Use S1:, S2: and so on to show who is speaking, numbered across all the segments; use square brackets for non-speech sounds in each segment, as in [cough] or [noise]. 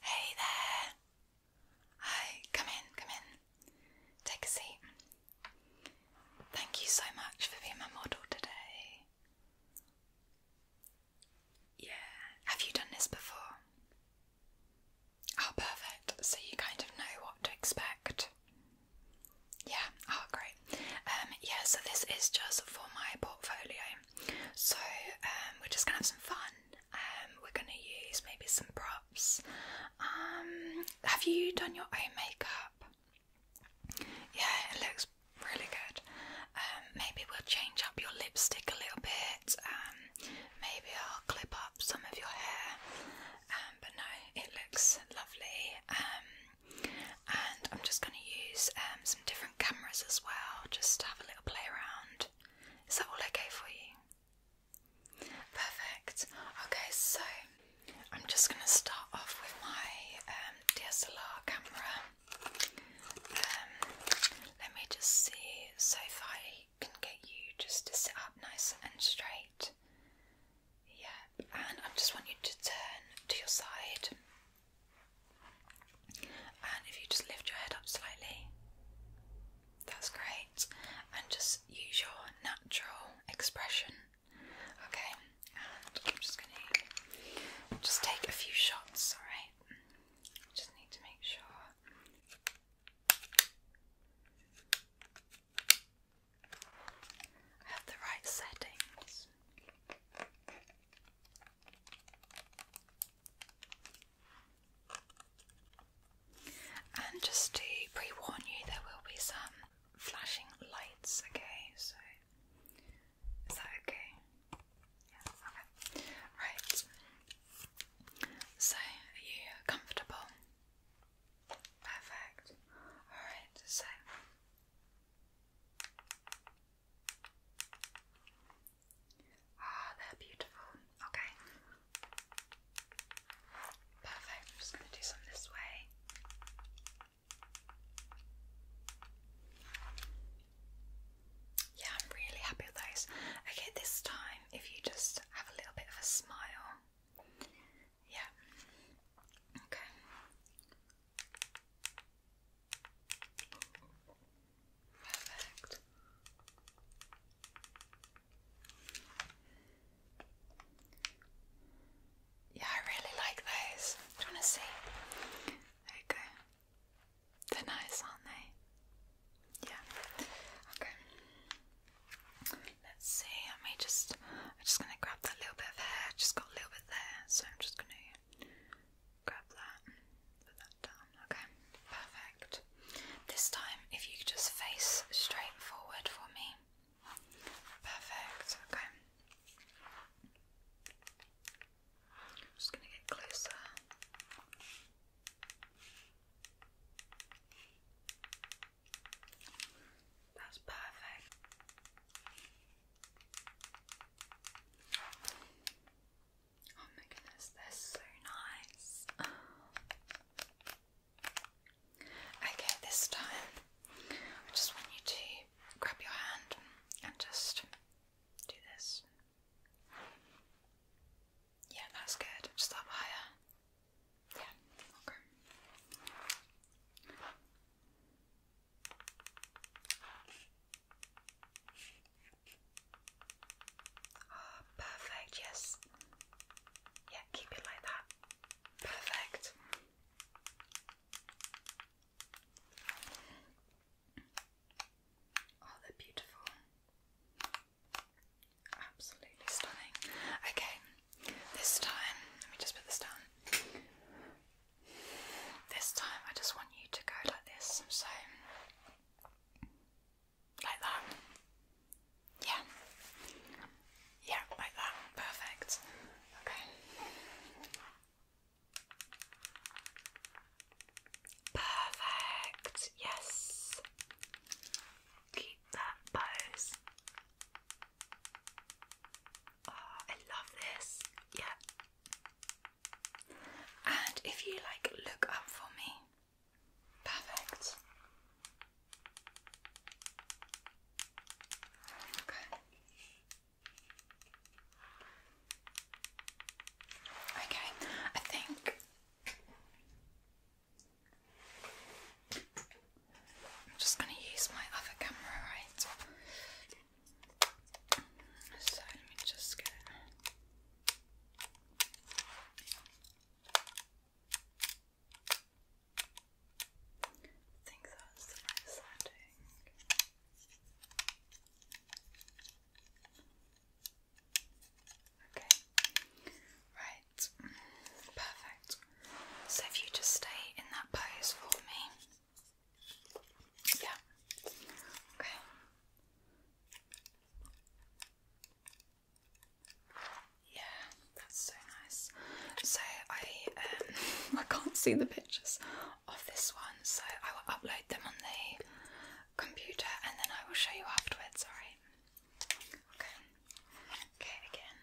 S1: Hey there! Hi, come in, come in. Take a seat. Thank you so much for being my model today. Yeah, have you done this before? Oh, perfect. So you kind of know what to expect. Yeah, oh, great. Um, yeah, so this is just for my portfolio. So um, we're just gonna have some fun. Um, we're gonna use maybe some props. Um, have you done your own makeup? Yeah, it looks really good. Um, maybe we'll change up your lipstick a little bit. maybe I'll clip up some of your hair. but no, it looks lovely and I'm just going to use um, some different cameras as well, just to have a little play around. Is that all okay for you? Perfect. Okay, so I'm just going to start off with my um, DSLR camera. Um, let me just see, so if I can get you just to sit up nice and straight. Yeah, and I just want you to turn to your side. And if you just lift your head up slightly, that's great. And just use your natural expression. Okay, and I'm just gonna just take a few shots, alright? Just need to make sure. I have the right settings. And just to pre warn you, there will be some flashing lights, okay? So, is that okay? Yeah, okay. Right. So, are you comfortable? Perfect. Alright, so Ah, they're beautiful. Okay. Perfect. I'm just going to do some this way. Yeah, I'm really happy with those. Okay, this time, if you just have a little bit of a smile. Yeah. Okay. Perfect. Yeah, I really like those. Do you want to see? There you go. They're nice, aren't they? Yeah. Okay. Let's see. Let me just I'm just going to grab that little bit of hair, just got a little bit there, so I'm just going to grab that put that down. Okay, perfect. This time, if you could just face straight forward for me. Perfect, okay. I'm just going to get closer. That's perfect. Oh my goodness, they're so nice. Okay, this time I just want you to grab your hand and just do this. Yeah, that's good. Just up higher. Yeah, okay. Oh, perfect, yes. Yeah, keep it like that. Perfect. Oh, they're beautiful. Absolutely stunning. Okay, this time, let me just put this down. This time I just want you to go like this, so like that. Yeah. Yeah, like that. Perfect. Okay. Perfect. Yes. Keep that pose. Ah, I love this. Yeah. And if you like look up for me. Perfect. Okay. Okay, I think I'm just going to use my other camera, right? So let me just get I think that's the right setting. Okay. Right. Perfect. So if you just stay in that pose for me. Yeah. Okay. Yeah, that's so nice. So I um, [laughs] I can't see the pictures of this one, so I will upload them on the computer and then I will show you afterwards, alright? Okay. Okay again.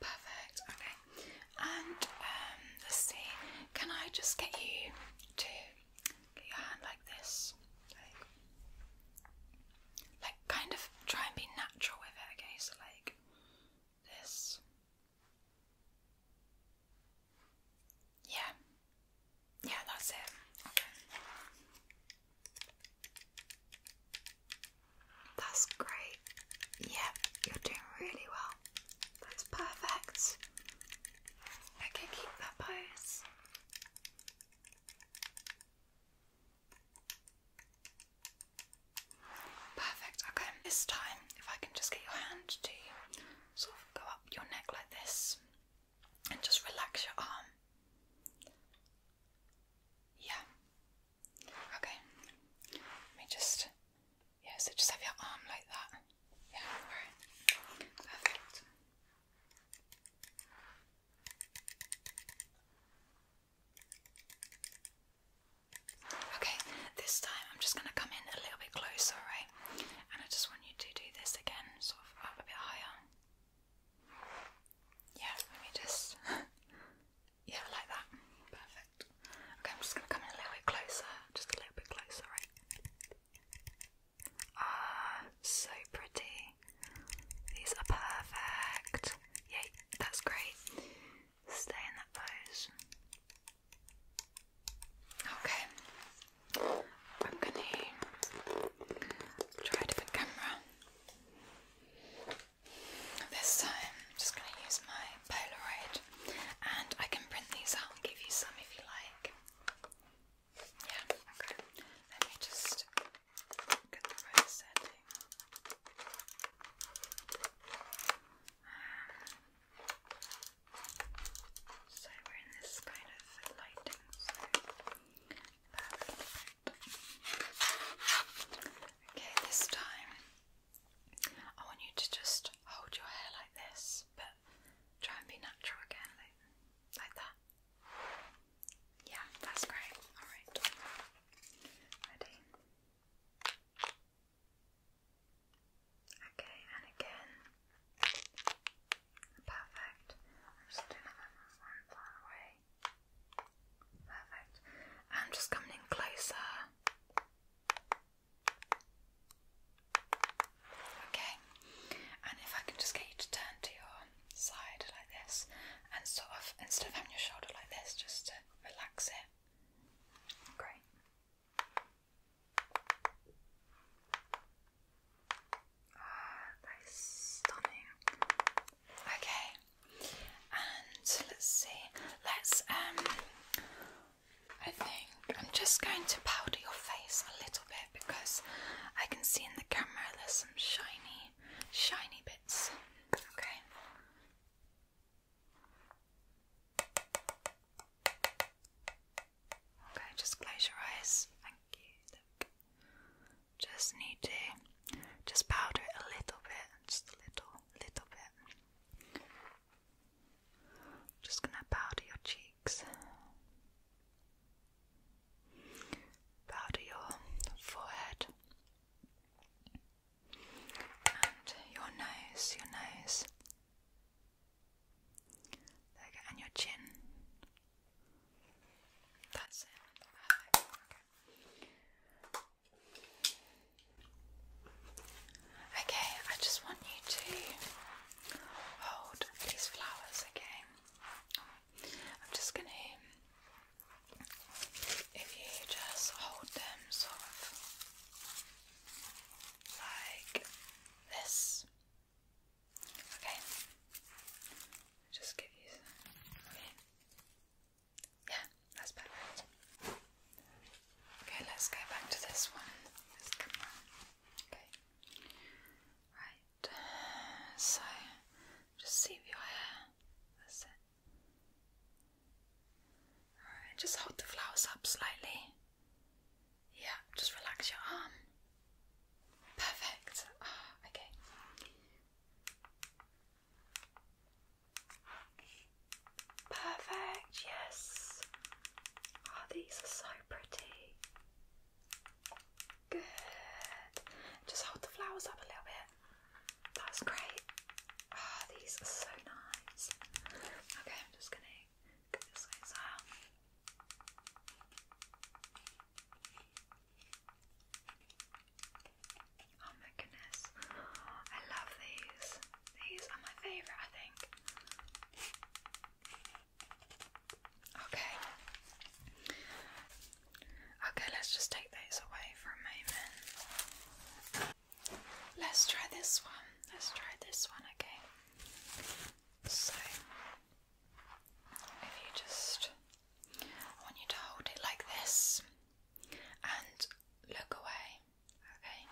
S1: Perfect, okay. And um, let's see, can I just get you to get your hand like this? Like, like kind of try and be natural with it, okay? So, like this. Yeah. Yeah, that's it. Okay. That's great. yeah, you're doing really well. That's perfect. Okay, keep that pose. Perfect. Okay, this time, if I can just get your hand to sort of go up your neck like this and just relax your arm. Yeah. Okay. Let me just. Yeah, so just have your arm like that. Yeah, Perfect. Okay, this time I'm just going to come in a little bit closer, right? And I just want you to do this again, sort of up a bit higher. Yeah, let me just. [laughs] yeah, like that. Perfect. Okay, I'm just gonna come in a little bit closer. Just a little bit closer, right? Ah, so pretty. These are perfect. Yay, that's great. Stay in that pose. Okay, I'm gonna try a different camera. This time, I'm just gonna use my Polaroid, and I can print these out and give you some if you like. Yeah, okay. Let me just get the right setting. so we're in this kind of lighting Okay, this time I want you to just hold your hair like this, but try and be natural again, like that. Yeah, that's great. Alright. Ready? Okay, and again. Perfect. I'm just doing that one far away. Perfect. I'm just coming in closer. Okay. And if I can just get you to turn to your side like this and sort of instead of having your shoulder like this, just to relax it. Great. Ah, okay, and let's see. Let's um, I think I'm just going to powder your face a little bit because I can see in the camera there's some shiny, shiny bits. Okay. Okay, just close your eyes. Thank you. Just need to just powder it a little bit, just a little, little bit. Just gonna powder your cheeks, powder your forehead, and your nose, your nose and your chin. That's it. Okay. okay, I just want you to hold these flowers, okay? I'm just gonna if you just hold them sort of like this Okay. Just give you Okay. Yeah, that's perfect. Okay, let's go back to this one. This camera. Okay. Right. So, just see your hair. That's Alright, just hold the flowers up slightly. Yeah, just relax your arm. Perfect. Ah, okay. Perfect, yes. Oh, these are so pretty. Good. Just hold the flowers up a little bit. That's great. Ah, these are so nice. Okay, I'm just gonna Oh my goodness. I love these. These are my favourite, I think. Okay. Okay, let's just take those away for a moment. Let's try this one. Let's try this one, okay? So if you just want you to hold it like this and look away, okay?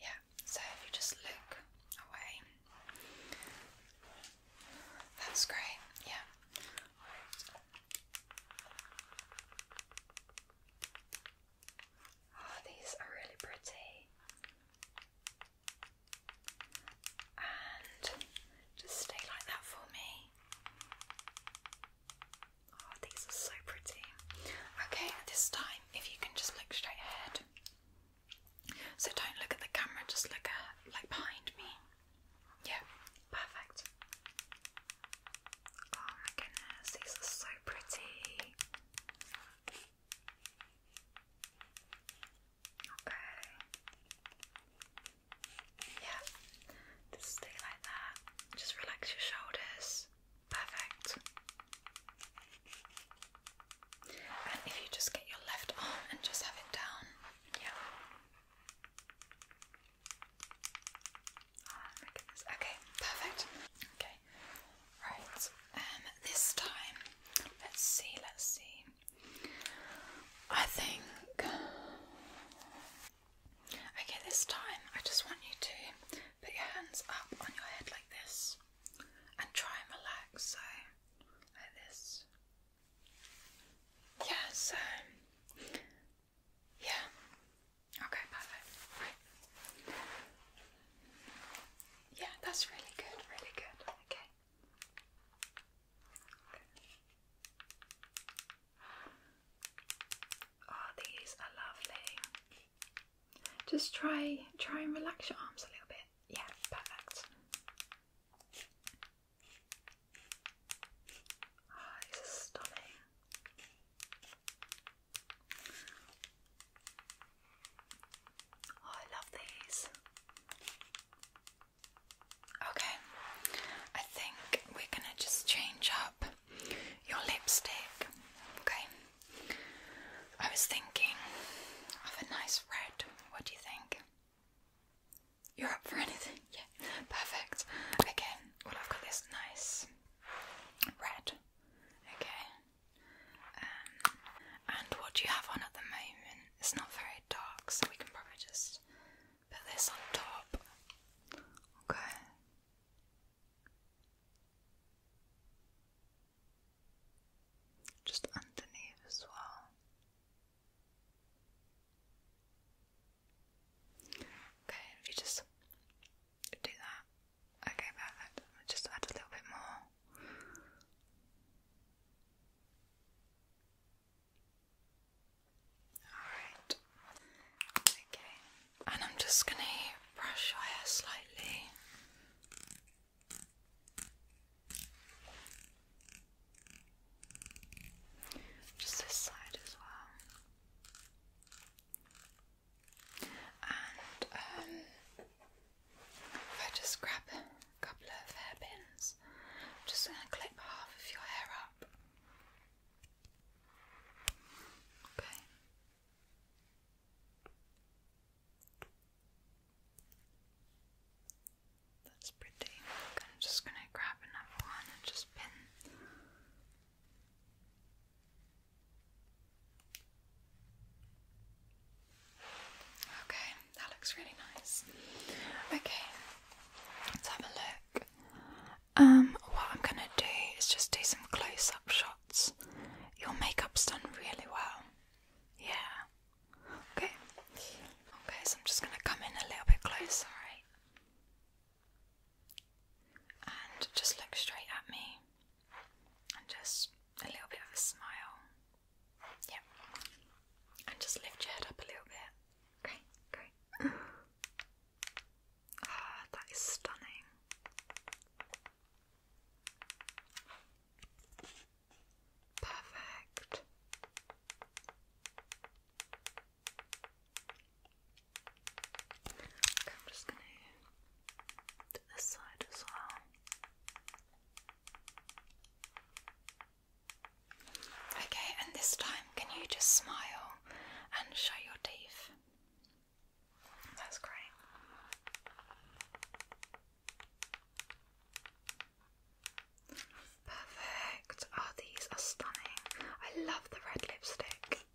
S1: Yeah, so if you just look away. That's great, yeah. Oh, these are really pretty. And just stay like that for me. Oh, these are so pretty. Okay, this time, if you can just look straight ahead. So don't look at the camera, just look at like behind me. Yeah, perfect. Oh my goodness, these are so pretty. Okay. Yeah. Just stay like that. Just relax your shoulders. Perfect. And if you just get your left arm and just have it down. Yeah. Okay, perfect. Okay, right. Um, this time, let's see. Let's see. I think. Okay, this time I just want you to put your hands up on your head like this, and try and relax. So, like this. Yeah. So. Yeah. Okay, perfect. Yeah, that's really good, really good. Okay. Oh, these are lovely. Just try try and relax your arms a little bit. Yeah, perfect. Oh, it's stunning. Oh, I love these. Okay, I think we're gonna just change up your lipstick. Okay, I was thinking of a nice red. What do you think? You're up for anything? [laughs] Yeah, perfect. Okay, well, I've got this nice red Okay. Um, and what do you have on at the moment? It's not very dark, so we can probably just put this on top. Okay. Just underneath as well. Okay, if you just do that. Okay, perfect. i just add a little bit more. Alright. Okay. And I'm just going to brush your slightly. Just this side as well. And um, I just grab a couple of hairpins, am just going to clip half of your hair up. Okay. That's pretty. I'm just going to grab another one and just pin Okay, that looks really nice. Okay, let's have a look. Um, what I'm gonna do is just do some close up shots. Your makeup's done really well. Yeah. Okay. Okay, so I'm just gonna come in a little bit closer, alright? and just look straight at me and just a little bit of a smile. Yep. And just lift your head up a little bit. Great, great. [sighs] Ah, that is stunning. Perfect. I'm just gonna do this side as well. Okay, and this time can you just smile and show your teeth? That's great. Perfect. Oh, these are stunning. I love the red lipstick.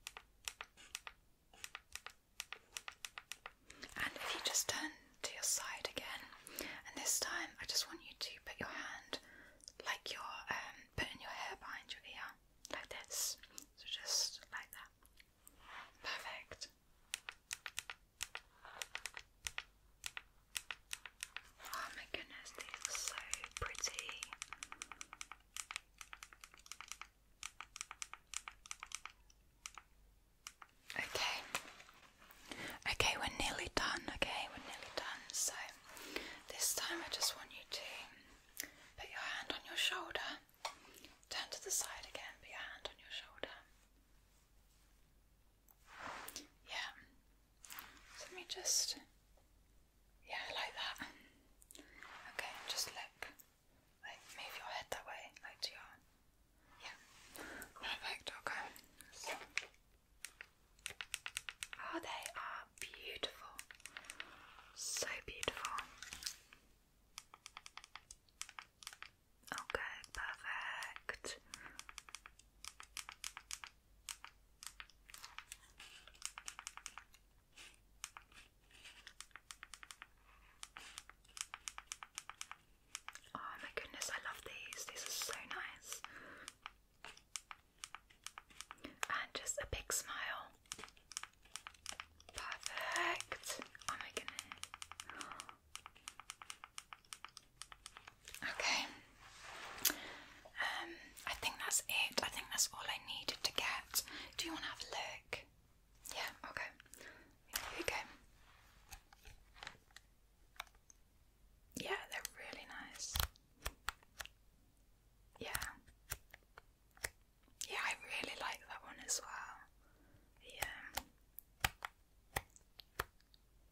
S1: And if you just turn to your side again, and this time I just want you to put your hand like you're um, putting your hair behind your ear, like this. So just like that. Perfect. Oh my goodness, these are so pretty. Okay. Okay, we're nearly done. Okay, we're nearly done. So, this time I just want you to put your hand on your shoulder, turn to the side again, put your hand on your shoulder. Yeah. let me just yeah, like that. Okay, just look. Like, move your head that way, like to your. Yeah. Perfect, okay. Oh, they are beautiful. So beautiful. Okay, perfect. Oh my goodness, I love these. These are so nice. And just a big smile. Perfect. Oh my goodness. [gasps] Okay, um, I think that's it. I think that's all I needed to get. Do you want to have a look? Yeah, okay. Here we go. Yeah, they're really nice. Yeah. Yeah, I really like that one as well.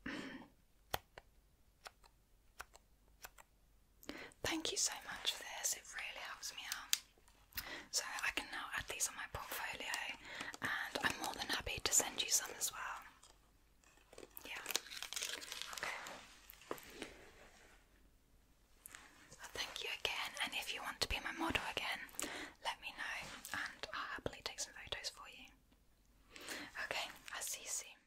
S1: Yeah. [clears throat] Thank you so much for this, it really helps me out. So I can now add these on my portfolio, and I'm more than happy to send you some as well. Yeah, okay. thank you again, and if you want to be my model again, let me know, and I'll happily take some photos for you. Okay, I'll see you soon.